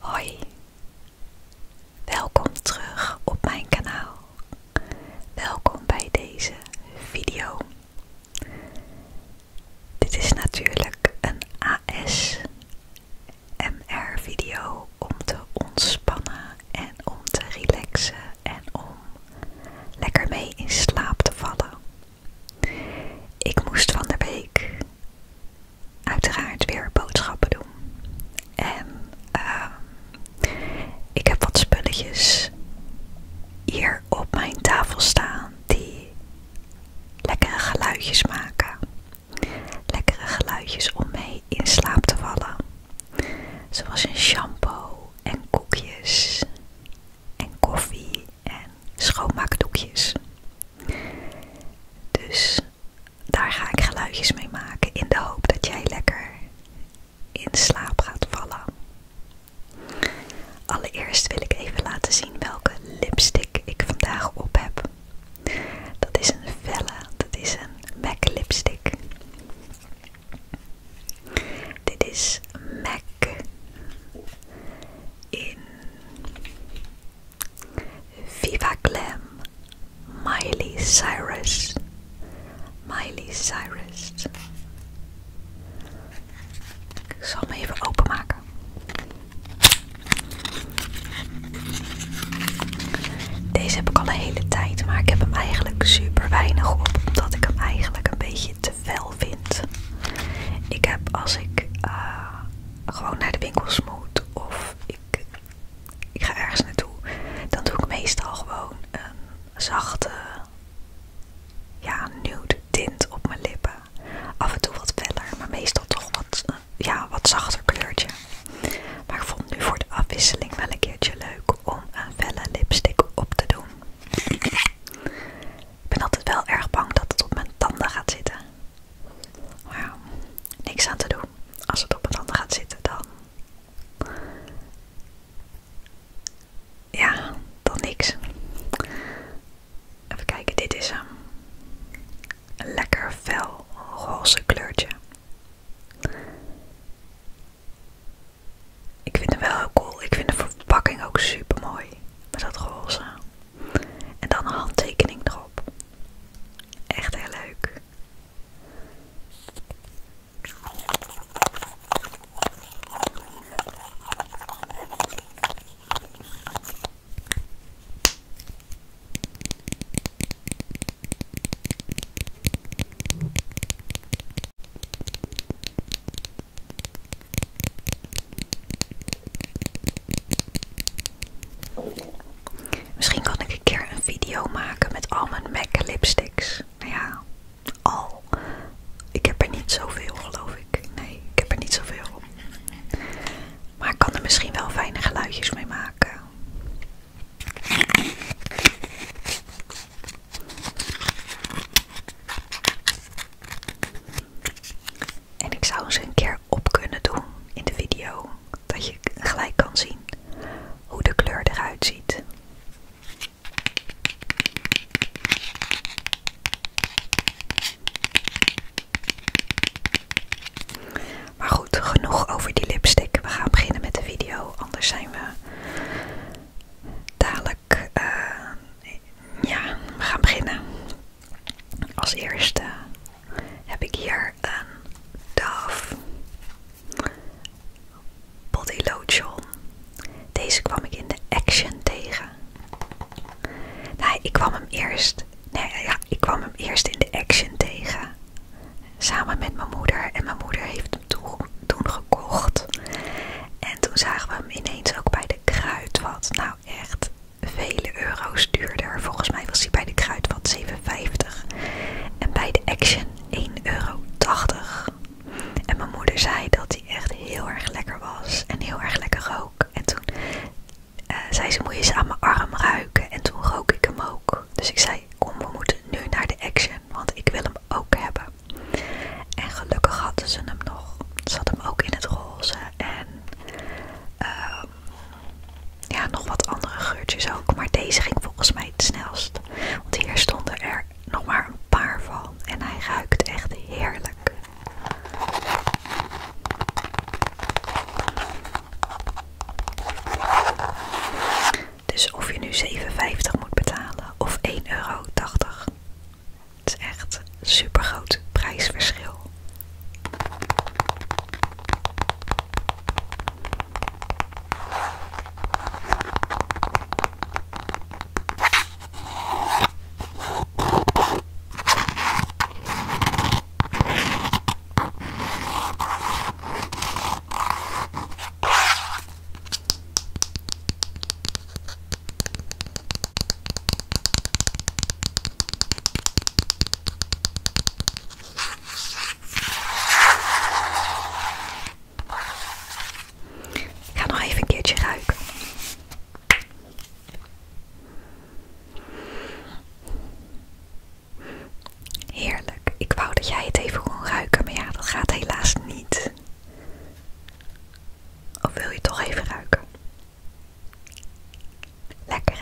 Hoi, welkom terug op mijn kanaal. Welkom bij deze video. Dit is natuurlijk een ASMR video om te ontspannen en om te relaxen en om lekker mee in slaap te vallen. Ik moest van de week uiteraard weer boodschappen doen. En ehm, ik heb wat spulletjes hier op mijn tafel staan die lekkere geluidjes maken. Lekkere geluidjes om mee in slaap te vallen. Zoals een shampoo en koekjes en koffie en schoonmaakdoekjes. Dus daar ga ik geluidjes mee maken in de hoop dat jij lekker in slaap gaat vallen. Allereerst wil ik even laten zien welke lipstick ik vandaag op heb. Dat is een felle, dat is een MAC lipstick. Dit is MAC in Viva Glam, Miley Cyrus, Miley Cyrus. Ik zal hem even openmaken. Deze heb ik al een hele tijd, maar ik heb hem eigenlijk super weinig op, omdat ik hem eigenlijk een beetje te fel vind. Ik heb als ik eh, gewoon naar de winkel moet of ik, ga ergens naartoe, dan doe ik meestal gewoon een zachte ja, nude tint op mijn lippen. Af en toe wat feller, maar meestal toch wat, ja, wat zachter kleurtje. Maar ik vond nu voor de afwisseling wel een keertje leuk om een felle lipstick op te doen. Ik ben altijd wel erg bang dat het op mijn tanden gaat zitten. Nou, niks aan te doen. Als het op het ander gaat zitten, dan. Ja, dan niks. Even kijken, dit is Een lekker fel roze kleurtje. Ik vind hem wel heel cool. Ik vind de verpakking ook super mooi. Met dat roze. En dan een handtekening erop. Echt heel leuk. Misschien kan ik een keer een video maken met al mijn MAC lipsticks. Nou ja, al. Ik heb er niet zoveel, geloof ik. Nee, ik heb er niet zoveel. Maar ik kan er misschien wel fijne geluidjes mee maken. En ik zou eens een keer op kunnen doen in de video. Dat je gelijk kan zien hoe de kleur eruit ziet. Maar goed, genoeg over die lipstick. We gaan beginnen met de video, anders zijn we dadelijk. Eh, ja, we gaan beginnen. Als eerste heb ik hier een Dove Body Lotion. Deze kwam ik in de Action tegen. Nee, ik kwam hem eerst. Nee, ja, ik kwam hem eerst in de Action tegen. Samen met mijn moeder. En mijn moeder heeft hem toen, gekocht. En toen zagen we hem ineens ook bij de kruidvat. Nou, echt vele euro's duurder. Volgens mij was hij bij de Kruidvat 7,50 en bij de Action 1,80 euro. En mijn moeder zei dat hij echt heel erg lekker was en heel erg lekker rook. En toen eh, zei ze, moet je ze aan mijn arm ruiken? En toen rook ik hem ook. Dus ik zei, kom we moeten nu naar de Action, want ik wil hem ook hebben. En gelukkig hadden ze hem nog. Ze had hem ook in het roze eh, ja, nog wat andere geurtjes ook. Maar deze ging volgens mij het snelst. Want hier stonden er nog maar een paar van. En hij ruikt echt heerlijk. Dus of je nu 7,50 moet betalen of 1,80 euro, het is echt een super groot prijsverschil. Ik ga nog even een keertje ruiken. Heerlijk. Ik wou dat jij het even kon ruiken, maar ja, dat gaat helaas niet. Of wil je toch even ruiken? Lekker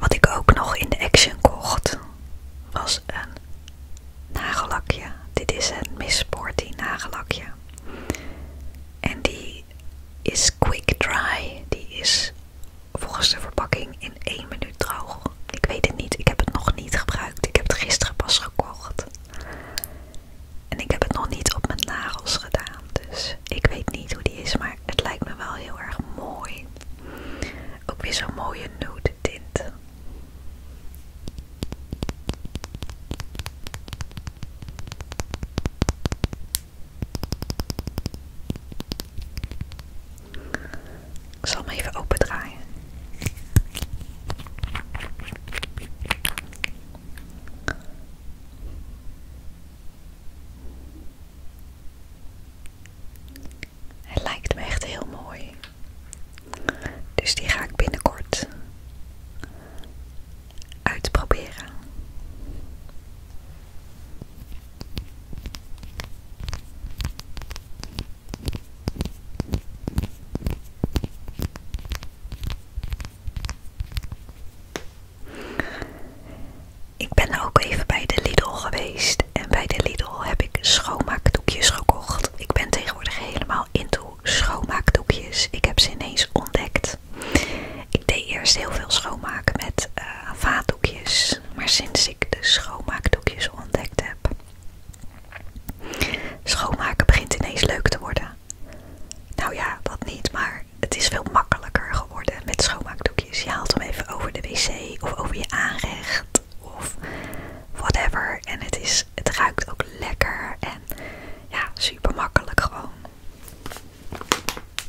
Wat ik ook nog in de Action kocht was een nagellakje. Dit is een Miss Sporty nagellakje. En die is quick dry. Die is volgens de verpakking in 1 minuut droog. Ik weet het niet, ik heb het nog niet gebruikt. Ik heb het gisteren pas gekocht. En ik heb het nog niet op mijn nagels gedaan. Dus ik weet niet hoe die is, maar het lijkt me wel heel erg mooi. Ook weer zo'n mooie nude tint. Ik zal hem even opendraaien. Hij lijkt me echt heel mooi. Dus die ga ik binnenkort uitproberen. Ik ben ook even bij de Lidl geweest en bij de Lidl heb ik schoonmaakdoekjes gekocht. Ik ben tegenwoordig helemaal into schoonmaakdoekjes. Ik heb ze ineens ontdekt. Ik deed eerst heel veel schoonmaken met uh, vaatdoekjes maar sinds ik de schoonmaakdoekjes ontdekt heb. Schoonmaken begint ineens leuk te worden. Nou ja, wat niet, maar het is veel makkelijker geworden met schoonmaakdoekjes. Je haalt hem even over de wc of over je aanrecht of whatever. En het, is, het ruikt ook lekker en ja, super makkelijk gewoon.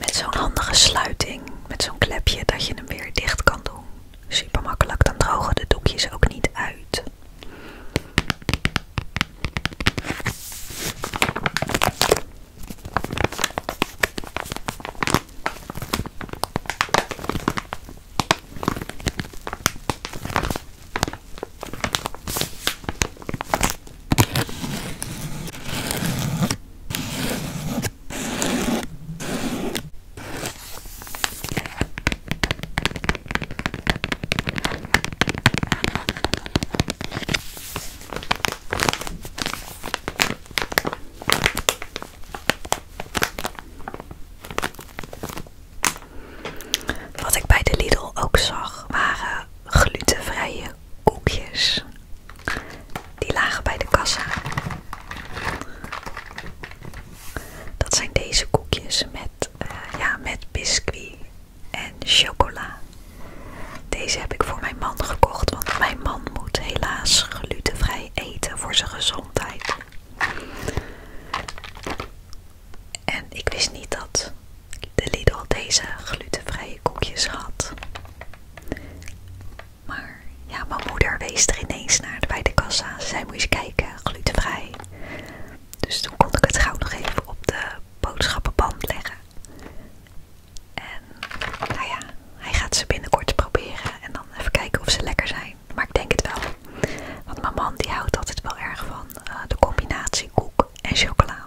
met zo'n handige sluiting, met zo'n klepje dat je hem weer dicht kan doen. Super makkelijk, dan drogen de doekjes ook niet uit. Wat ik bij de Lidl ook zag waren glutenvrije koekjes. Die lagen bij de kassa. Dat zijn deze koekjes met, eh, ja, met biscuit en chocola. Deze heb ik voor mijn man gekocht, want mijn man moet helaas glutenvrij eten voor zijn gezondheid. En ik wist niet dat de Lidl deze glutenvrije koekjes had. Maar ja, mijn moeder wees er ineens naar bij de kassa. Ze zei, moet eens kijken, glutenvrij. Dus toen kon ik het gauw nog even op de boodschappenband leggen. En nou ja, hij gaat ze binnenkort proberen en dan even kijken of ze lekker zijn. Maar ik denk het wel. Want mijn man die houdt altijd wel erg van eh, de combinatie koek en chocola.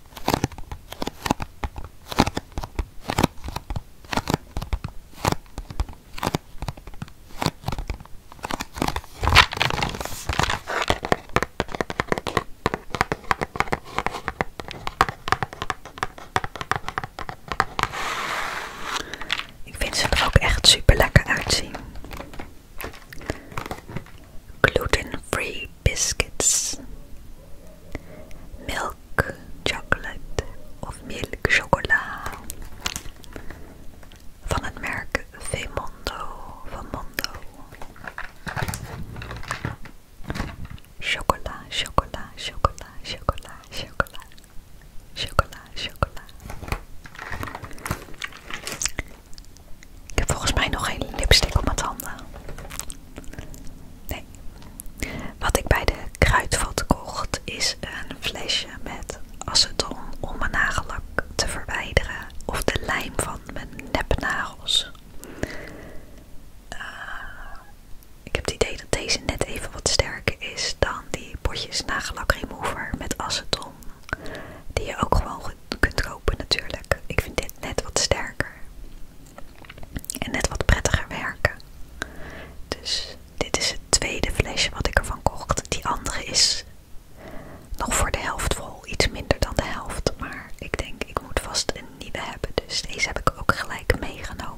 Ik vind ze er ook echt super lekker uitzien. Gluten-free biscuits, milk chocolate of milk van het merk Vemondo van Mondo. Chocola, chocola, chocola, chocola, chocola, chocola, chocola. Ik heb volgens mij nog geen lipstick op mijn handen. Nee. Wat ik bij de kruidvat kocht is een flesje met aceton om mijn nagellak te verwijderen of de lijm van mijn nepnagels. Eh, ik heb het idee dat deze net even wat sterker is dan die potjes nagellak remover met aceton. Die je ook gewoon kunt kopen natuurlijk. Ik vind dit net wat sterker. En net wat prettiger werken. Dus dit is het tweede flesje wat ik ervan kocht. Die andere is nog voor de helft vol. Iets minder dan de helft. Maar ik denk, ik moet vast een nieuwe hebben. Dus deze heb ik ook gelijk meegenomen.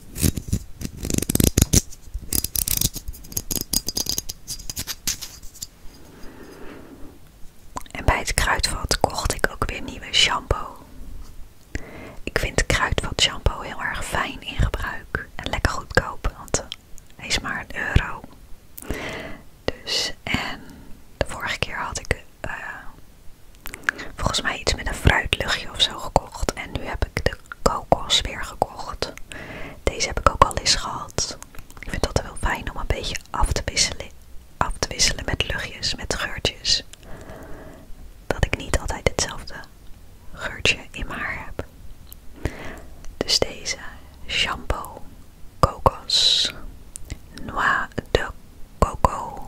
En bij het kruidvat kocht ik ook weer nieuwe shampoo. Ik vind kruidvat shampoo heel erg fijn in gebruik en lekker goedkoop, want hij is maar een euro. Dus en de vorige keer had ik eh, volgens mij iets met een fruitluchtje of zo gekocht en nu heb ik de kokos weer gekocht. Deze heb ik ook al eens gehad. Ik vind dat wel fijn om een beetje af te wisselen, af te wisselen met luchtjes, met geurtjes. Dat ik niet altijd hetzelfde geurtje in mijn haar heb. Dus deze shampoo kokos. Noir de coco.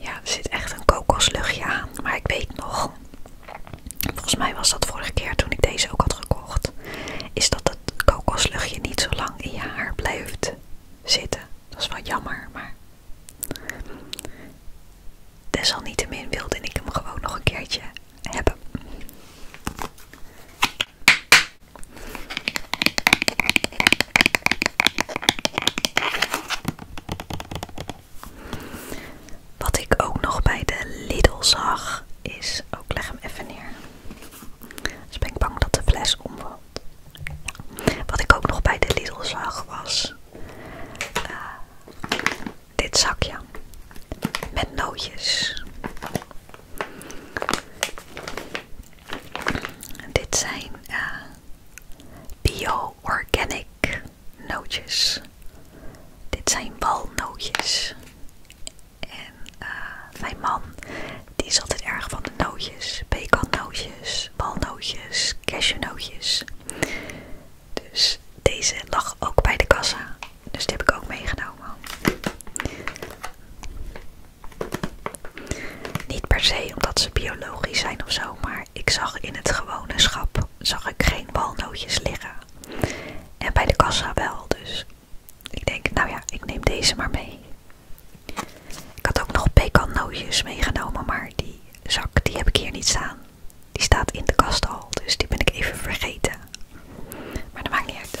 Ja, er zit echt een kokosluchtje aan, maar ik weet nog. Volgens mij was dat vorige keer toen ik deze ook had gekocht. Is dat dat kokosluchtje niet zo lang in je haar blijft zitten. Dat is wel jammer, maar desalniettemin wilde ik hem gewoon nog een keertje hebben. Wat ik ook nog bij de Lidl zag is, ook leg hem even neer. Dus ben ik bang dat de fles omvalt. Wat ik ook nog bij de Lidl zag was eh, dit zakje met nootjes. dit zijn eh, bio-organic nootjes. Dit zijn walnootjes. En eh, mijn man, die is altijd erg van de nootjes. Pekannootjes, walnootjes, cashewnootjes. Dus deze lag ook bij de kassa. Dus die heb ik ook meegenomen. Niet per se omdat ze biologisch zijn of zo, maar ik zag in het gewone schap zag ik geen walnootjes liggen. En bij de kassa wel, dus ik denk, nou ja, ik neem deze maar mee. Ik had ook nog pekannootjes meegenomen, maar die zak die heb ik hier niet staan. Die staat in de kast al, dus die ben ik even vergeten. Maar dat maakt niet uit.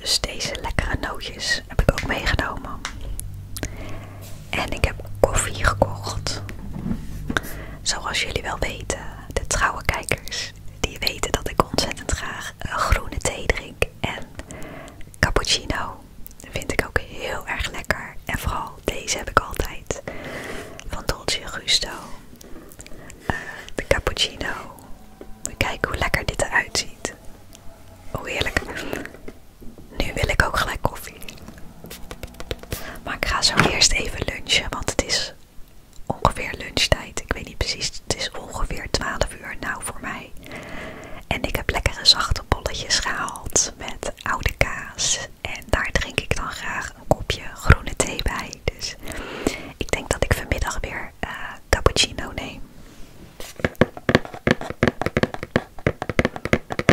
Dus deze lekkere nootjes heb ik ook meegenomen. En ik heb koffie gekocht. Zoals jullie wel weten, de trouwe kijkers, die weten dat ik ontzettend graag eh, groene thee drink. En cappuccino vind ik ook heel erg lekker. En vooral deze heb ik altijd. Van Dolce Gusto. Eh, de cappuccino. Kijk hoe lekker dit eruit ziet. Oh heerlijk. Nu wil ik ook gelijk koffie. Maar ik ga zo eerst even lunchen, want het is ongeveer lunchtijd. Ik weet niet precies, het is ongeveer 12 uur nou voor mij. En ik heb lekkere zachte bolletjes gehaald met oude kaas. En daar drink ik dan graag een kopje groene thee bij. Dus ik denk dat ik vanmiddag weer eh, cappuccino neem.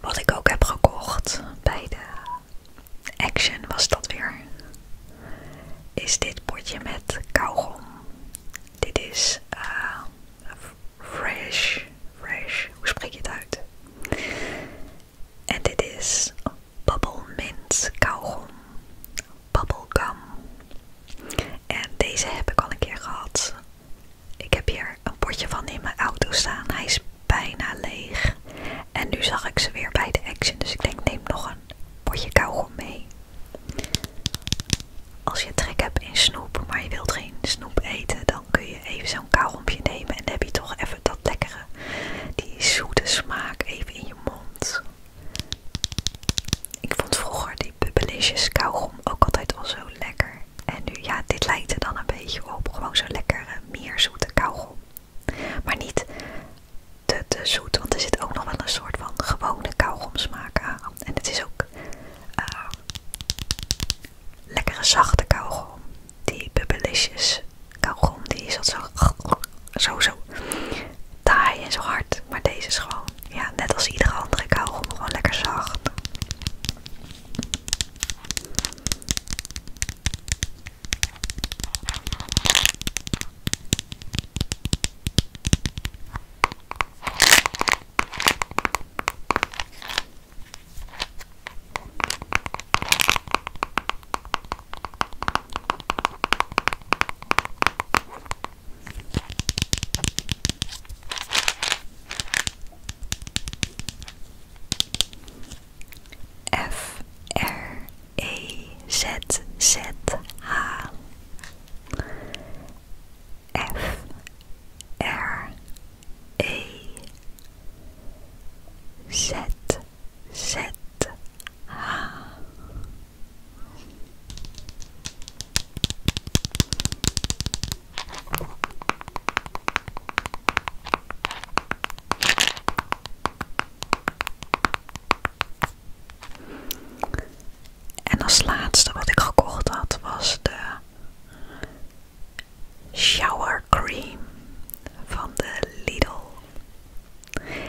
Wat ik ook heb gekocht bij de Action was dat weer. Is dit potje met kauwgom. Dit is eh, Fresh. Fresh. Hoe spreek je het uit? En dit is Bubble Mint kauwgom. Bubblegum. En deze heb ik al een keer gehad. Ik heb hier een potje van in mijn auto staan. Hij is bijna leeg. En nu zag ik ze weer bij de Action. Dus ik denk neem nog een potje kauwgom mee. Als je trek hebt in snoep, maar je wilt geen snoep eten, dan kun je even zo'n kauwgompje nemen en dan heb je toch even dat lekkere, die zoete smaak even in je mond. Ik vond vroeger die bubbelisjes kauwgom ook altijd al zo lekker. En nu, ja, dit lijkt er dan een beetje op. Gewoon zo'n lekkere, eh, meer zoete kauwgom. Maar niet te, de zoet, want er zit ook nog wel een soort van gewone kauwgomsmaak aan. En het is ook eh, lekkere zachte kauwgom die bubbelisjes kauwgom, die is zo, zo, zo taai en zo hard. Maar deze is gewoon, ja, net als iedere andere kauwgom, gewoon lekker zacht. F R E Z Z H F R E Z Z H En als laatste wat ik gekocht had was de Shower Cream van de Lidl.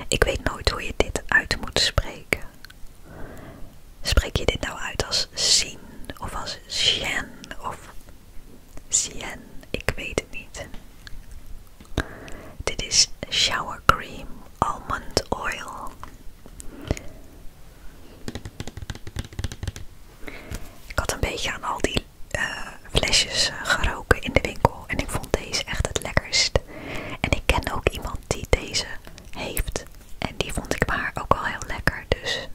Ik weet nooit hoe je dit uit moet spreken. Spreek je dit nou uit als zien of als sien of sien? Ik weet het niet. Dit is shower cream almond oil. Ik had een beetje aan al die eh, flesjes eh, geroken in de winkel en ik vond deze echt het lekkerst. En ik ken ook iemand die deze heeft en die vond ik maar ook wel heel lekker. Dus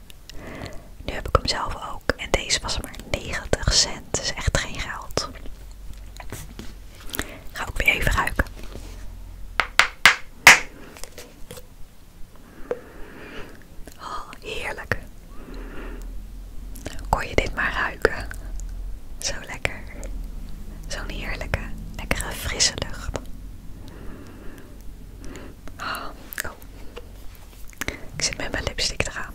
nu heb ik hem zelf ook en deze was maar 90 cent, is dus echt geen geld. Ga ook weer even ruiken. Oh, heerlijk. Kon je dit maar ruiken? Zo lekker. Zo'n heerlijke, lekkere frisse lucht. Ah, oh. Ik zit met mijn lipstick eraan.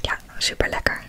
Ja, super lekker.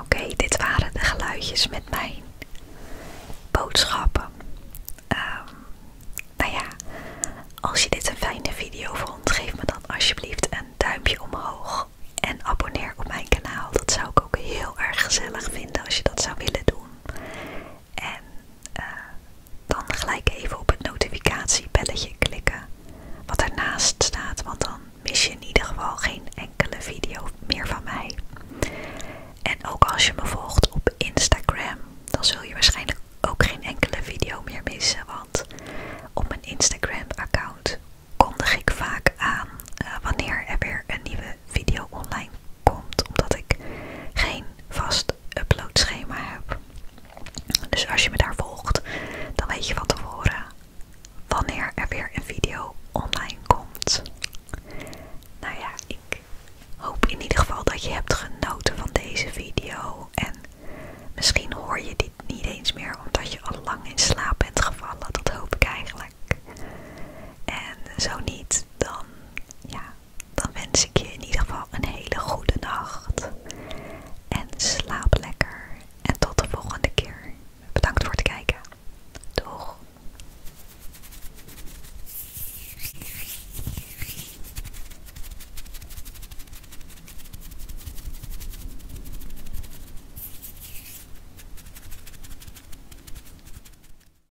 Oké, dit waren de geluidjes met mijn boodschappen. Um, nou ja, als je dit een fijne video vond, geef me dan alsjeblieft een duimpje omhoog. En abonneer op mijn kanaal. Dat zou ik ook heel erg gezellig vinden als je dat zou willen doen. En eh, dan gelijk even op het notificatiebelletje klikken wat ernaast staat, want dan mis je in ieder geval geen enkele video meer van mij. En ook als je me volgt op Instagram, dan zul je waarschijnlijk ook geen enkele video meer missen, want op mijn Instagram-account kondig ik vaak aan eh, wanneer er weer een nieuwe video online komt, omdat ik geen vast uploadschema heb. Dus als je me daar volgt, dan weet je van tevoren wanneer er weer een video online komt. Nou ja, ik hoop in ieder geval dat je hebt genoten van deze video. En misschien hoor je dit niet eens meer omdat je al lang in slaap bent gevallen. Dat hoop ik eigenlijk. En zo niet, dan ja, dan wens ik je in ieder geval een hele goede nacht. En slaap lekker. En tot de volgende keer. Bedankt voor het kijken. Doeg!